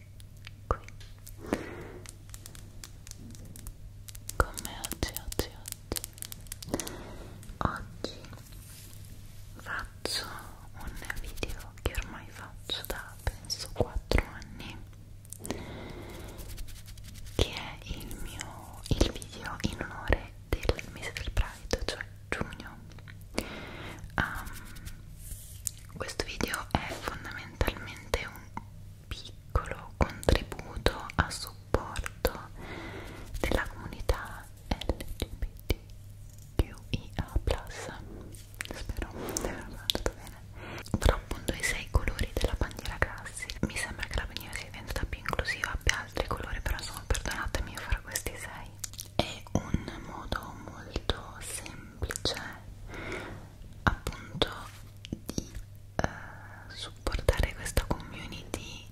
qui con me oggi, oggi, oggi oggi faccio un video che ormai faccio da penso 4 anni che è il mio il video in onore del mese del Pride, cioè giugno um, questo video è fondamentalmente un piccolo contributo a supporto della comunità LGBTQIA+. Spero di averlo fatto bene. Però appunto i sei colori della bandiera classica. Mi sembra che la bandiera sia diventata più inclusiva, abbia altri colori, però insomma perdonatemi io farò questi sei. È un modo molto semplice appunto di eh, supportare questa community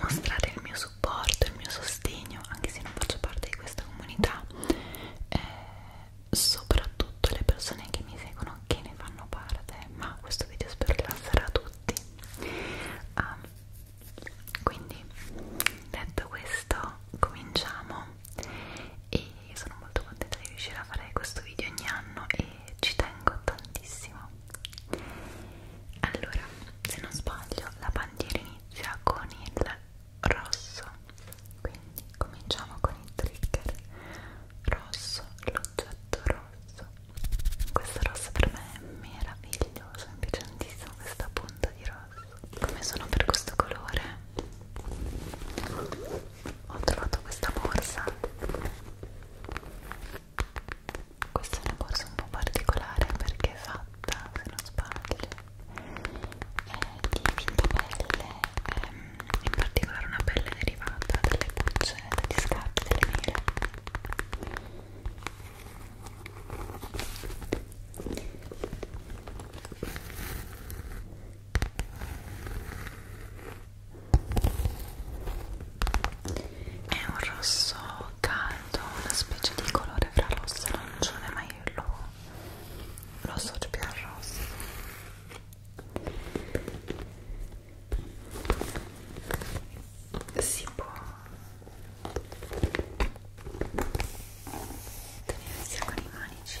mostrare il mio supporto, il mio sostegno anche se non faccio parte di questa comunità eh, soprattutto le persone che mi seguono che ne fanno parte ma questo video spero che lascerà a tutti um, quindi detto questo cominciamo e quindi sono molto contenta di riuscire a fare questo video ogni anno e ci tengo tantissimo allora se non sbaglio la bandiera inizia con il rosso quindi cominciamo con il trigger rosso l'oggetto rosso questo rosso per me è meraviglioso mi piace tantissimo questa punta di rosso come sono per questo colore ho trovato questa borsa questa è una borsa un po' particolare perché è fatta, se non sbaglio, è di pelle, ehm, in particolare una pelle derivata dalle bucce, dagli scarti, delle mele è un rosso caldo una specie di colore fra rosso e arancione ma io lo, lo associo più al rosso si può tenersi con i manici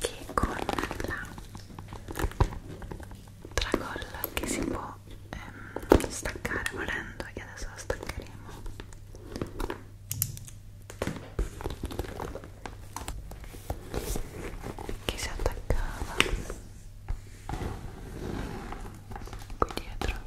che con la tracolla che si può ehm, staccare volendo e adesso la staccheremo che si attaccava qui dietro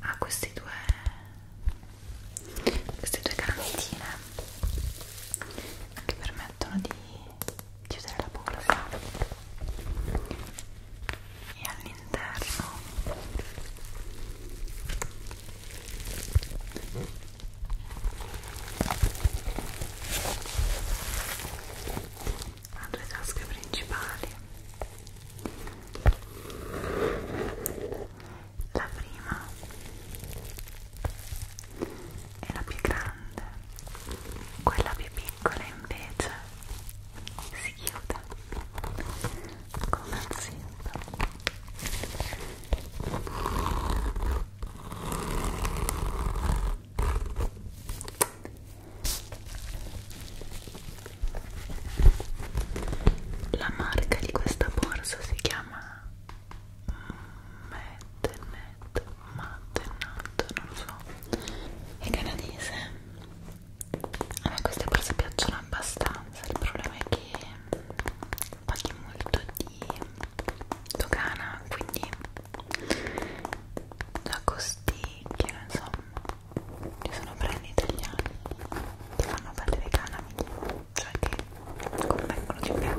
ha ah, questi due queste due garantine che permettono di chiudere la bucla e all'interno ha due tasche principali la prima è la più grande, quella più piccola invece si chiude con un zitto. La marca di questa borsa si chiama Mattenet, Mattenet, non lo so, è canadese. A me queste borse piacciono abbastanza, il problema è che paghi molto di dogana, quindi la costicchia, insomma ci sono brand italiani che fanno perdere i canami cioè che convengono di più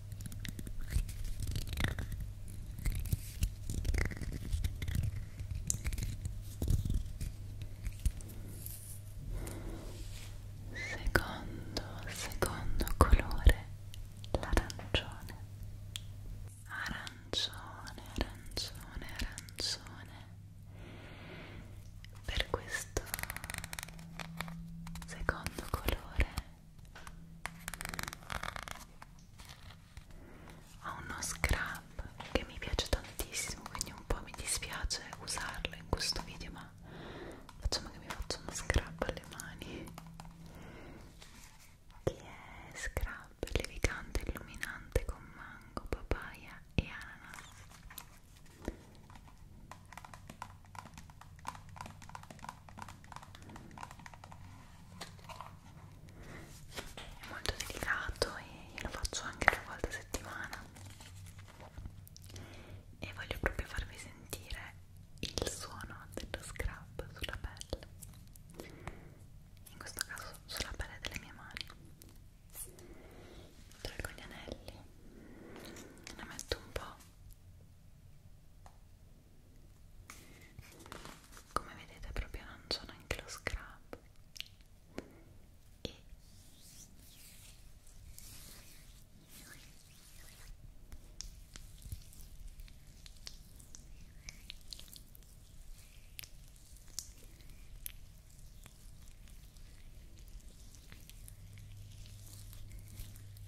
Secondo, secondo colore, l'arancione. Arancione, arancione, arancione. Per questo secondo colore ho uno scrub che mi piace tantissimo quindi un po' mi dispiace usarlo in questo video ma facciamo che mi faccio uno scrub alle mani che è scrub levigante illuminante con mango, papaya e ananas è molto delicato e lo faccio anche due volte a settimana e voglio proprio farvi sentire il suono dello scrub sulla pelle in questo caso sulla pelle delle mie mani traggo gli anelli ne metto un po' come vedete proprio non c'ho neanche lo scrub e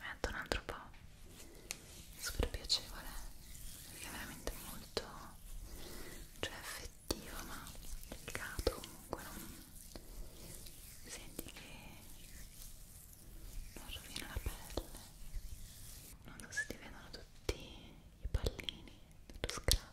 metto un altro po' super piacevole perché è veramente molto cioè effettivo ma delicato comunque non senti che non rovina la pelle non so se ti vedono tutti i pallini dello scrub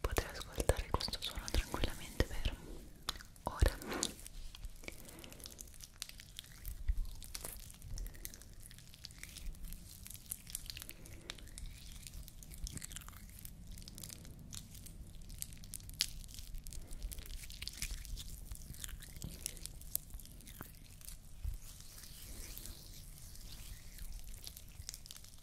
poter ascoltare questo suono tranquillamente per ora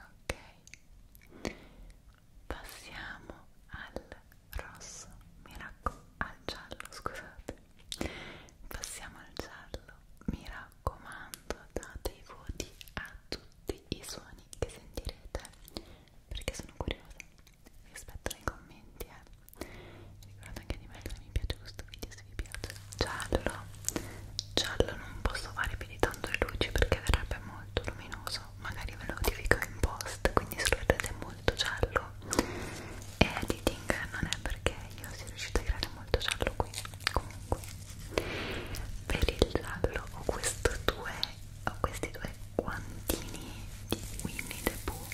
Ok, passiamo al rosso, mi raccomando, al giallo, scusate, passiamo al giallo, mi raccomando date i voti a tutti tutti i suoni che sentirete perché sono curiosa vi aspetto nei commenti eh. ricordate anche di mettere mi piace questo video se vi piace giallo giallo non posso fare più di tanto le luci perché verrebbe molto luminoso magari ve lo notifico in post quindi se lo vedete molto giallo e editing non è perché io sia riuscita a creare molto giallo qui comunque per il giallo ho, due, ho questi due guantini di Winnie the Pooh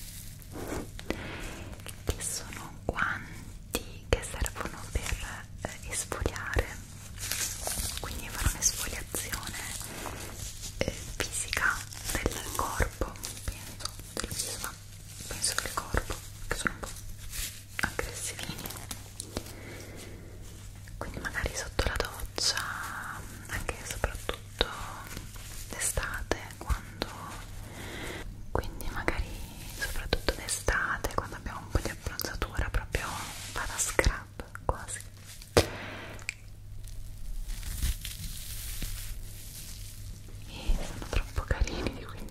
che sono guanti che servono per eh, esfoliare quindi fanno un'esfoliazione eh, fisica del corpo penso, del viso, penso del corpo che sono un po' aggressivini quindi magari sotto la doccia anche e soprattutto d'estate quando quindi magari soprattutto d'estate quando abbiamo un po' di abbronzatura proprio vado a scrub quasi e sono troppo carini quindi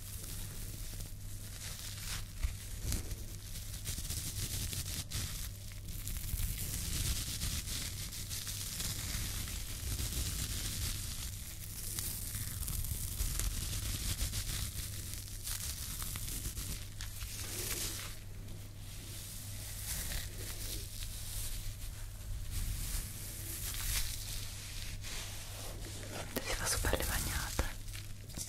si fa super le bagnate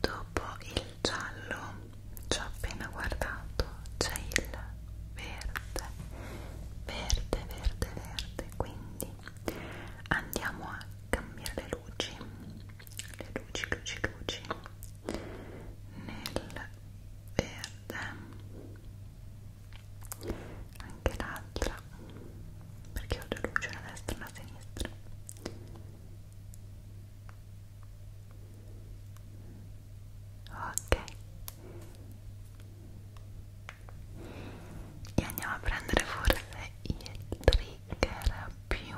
Dopo il giallo ci ho appena guardato c'è il verde, verde, verde, verde, quindi andiamo a cambiare le luci, le luci, luci, luci nel verde anche là l'altra perché ho due luci, una destra e una sinistra ok e andiamo a prendere forse il trigger più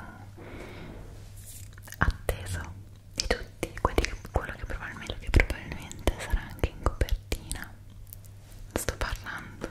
atteso di tutti quelli che, quello che probabilmente, che probabilmente sarà anche in copertina sto parlando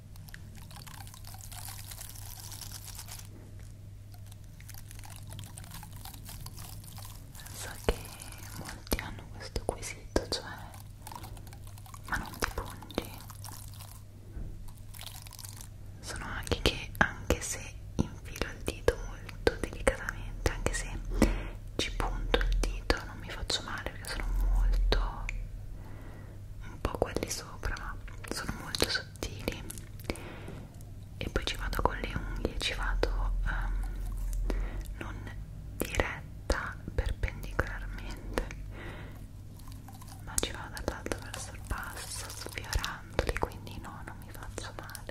So che molti hanno questo quesito, cioè ma non ti pungi. Sono anche che anche se infilo il dito molto delicatamente, anche se ci punto il dito non mi faccio male perché sono molto un po' quelli sopra, ma sono molto sottili e poi ci vado con le unghie ci vado um, non diretta perpendicolarmente ma ci vado dall'alto verso il basso sfiorandoli quindi no non mi faccio male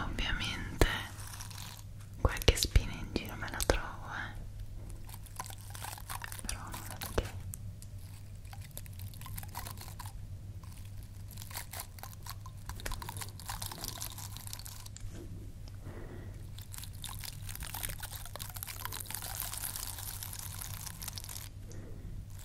Ovviamente qualche spina in giro me la trovo, eh. Però non la vedo.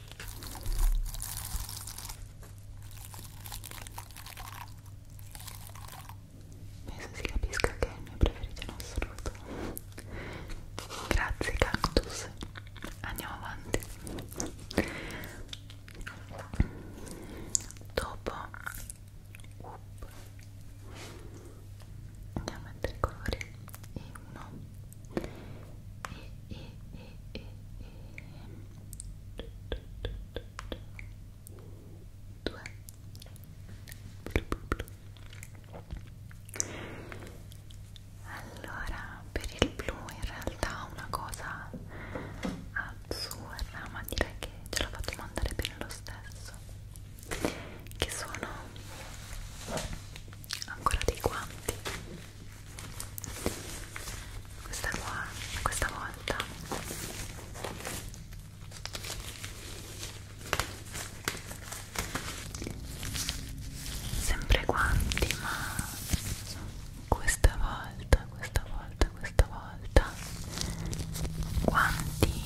penso si capisca che è il mio preferito in assoluto grazie cactus andiamo avanti dopo up. andiamo a mettere i colori e 1 e, e, e, e, e. due allora per il blu in realtà una cosa assurda ma direi che ce la facciamo andare bene lo stesso che sono ancora dei guanti questa qua questa volta sempre guanti ma questa volta questa volta questa volta guanti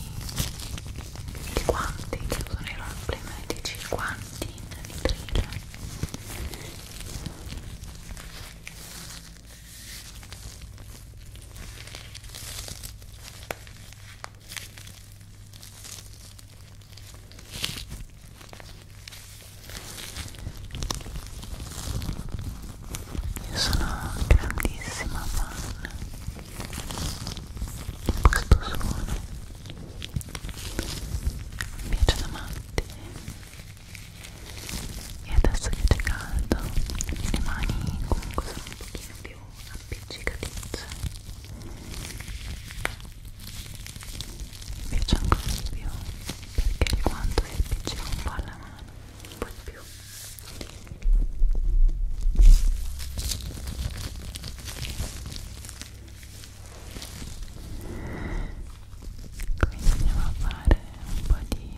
i guanti che usano i roleplay medici guanti in vetrina io sono grandissima fan di questo suono mi piace da matti e adesso che c'è caldo rimani comunque sono un pochino più appiccicatizze mi piace ancora di più perché il guanto si appiccica un po' alla mano un po' di più quindi andiamo a fare un po' di con quante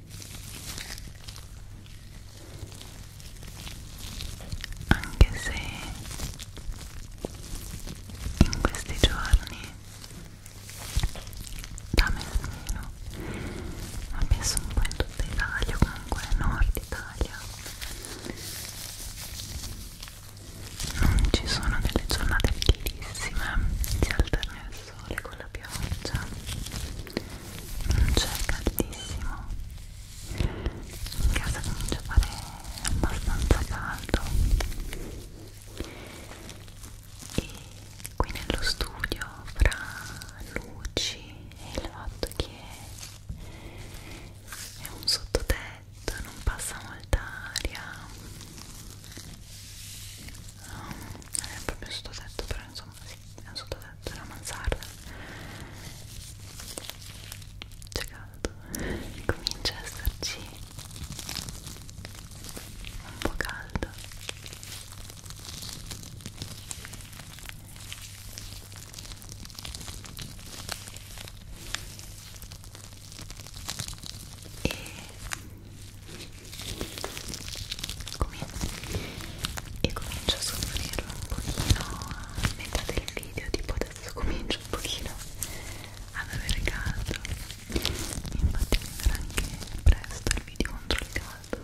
anche se in questi giorni da Merlino ho messo un po' in tutta Italia comunque nord Italia non ci sono delle giornate bellissime si alterna il sole con la contro pioggia non c'è caldissimo in casa comincia a fare abbastanza caldo e qui nello studio fra luci e il fatto che è un sottotetto non passa molta aria no, è proprio sottotetto però insomma insomma, sì, è un sottotetto, è una mansarda c'è caldo comincia a esserci un po' caldo e comincia e comincio a soffrirlo un pochino a metà del video tipo adesso comincio un pochino ad avere caldo infatti arriverà anche presto il video contro il caldo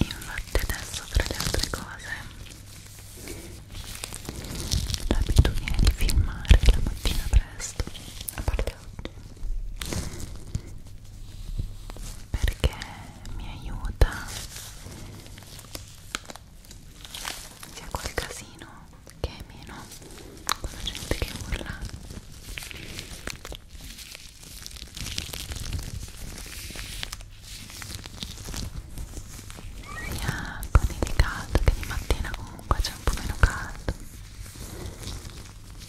Infatti adesso tra le altre cose l'abitudine di filmare la mattina presto a parte oggi perché mi aiuta sia quel casino che è meno con la gente che urla sia con il caldo che di mattina comunque c'è un po' meno caldo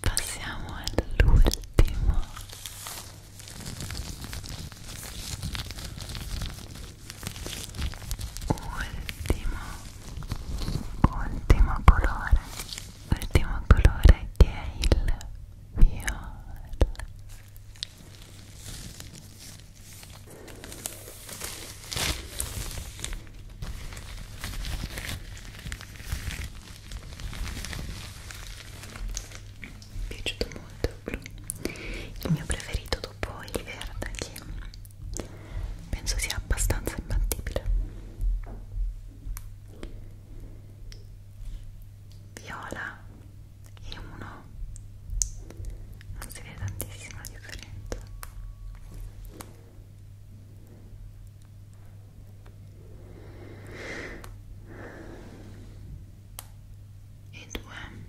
Passiamo all'ultimo. Ultimo ultimo colore ultimo colore che è il viola mi è piaciuto molto il blu il mio preferito dopo il verde che penso sia abbastanza imbattibile viola e uno non si vede tantissima differenza e due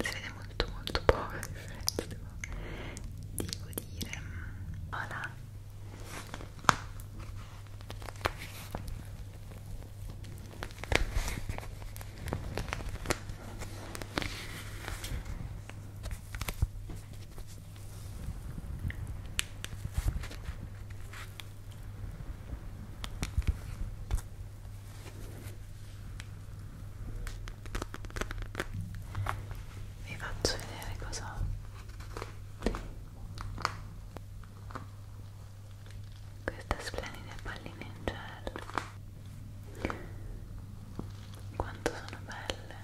si vede molto molto poco la differenza devo, devo dire voilà vi faccio vedere cosa ho queste splendide palline in gel quanto sono belle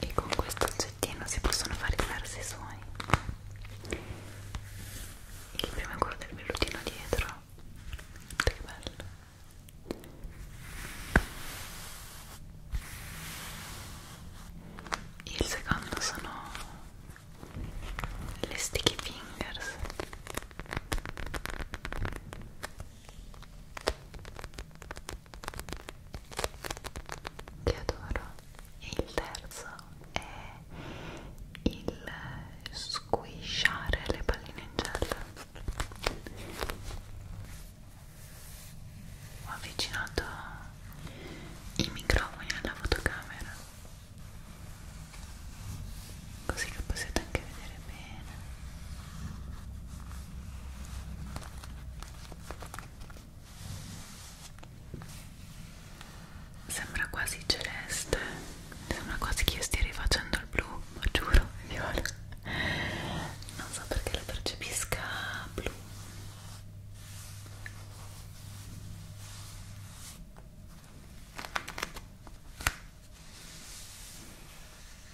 e con questo oggettino si possono fare diversi suoni il primo è quello del vellutino dietro che bello il secondo sono le sticky fingers che adoro e il terzo è il squisciare le palline in gel ho avvicinato i microfoni alla fotocamera così che possiate anche vedere bene Sembra quasi celeste, sembra quasi che io stia rifacendo il blu, lo giuro, viola. Non so perché lo percepisca blu.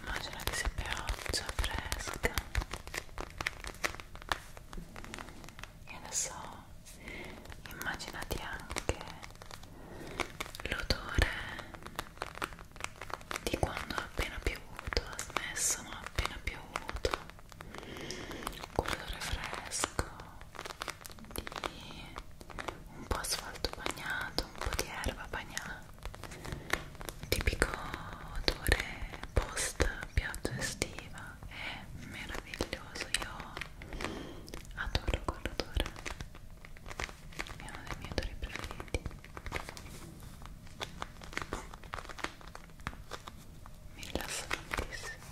Immagina che sia pioggia fresca e adesso immaginati anche l'odore di quando ha appena piovuto, ha smesso ma ha appena piovuto quell'odore fresco di un po' asfalto bagnato, un po' di erba bagnata tipico odore post pioggia estiva è meraviglioso, io adoro quell'odore è uno dei miei odori preferiti mi rilassa tantissimo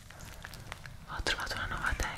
ho trovato una nuova tecnica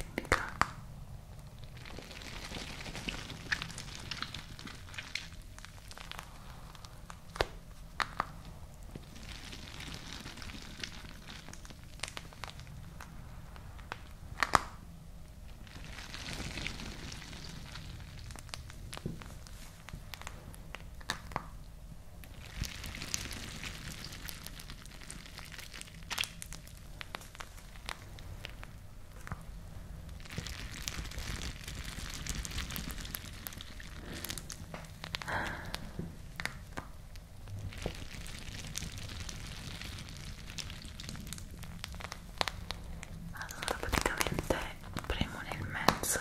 allora praticamente premo nel mezzo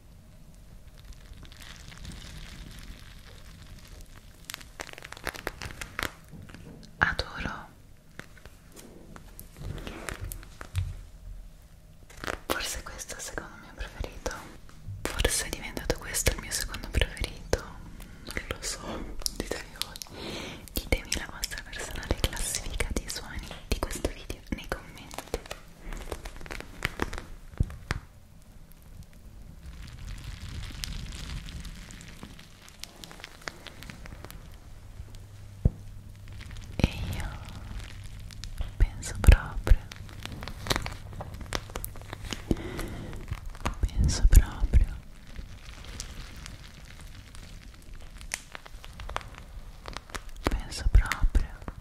Adoro. Forse questo è il secondo mio preferito. Forse è diventato questo il mio secondo preferito. Non lo so. Ditemi voi. Ditemi la vostra personale classifica dei suoni di questo video nei commenti. E io penso proprio, penso proprio penso proprio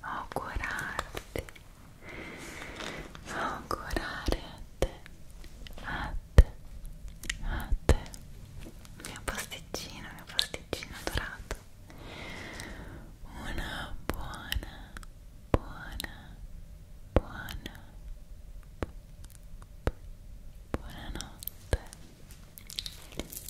augurarti augurare a te a te a te mia pasticcina mia pasticcina dorata una buona buona buona buonanotte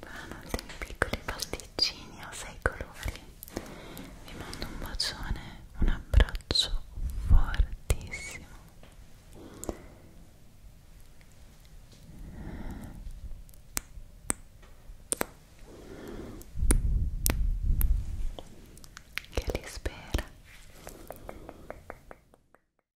Buonanotte miei piccoli pasticcini a sei colori Vi mando un bacione, un abbraccio fortissimo che li spera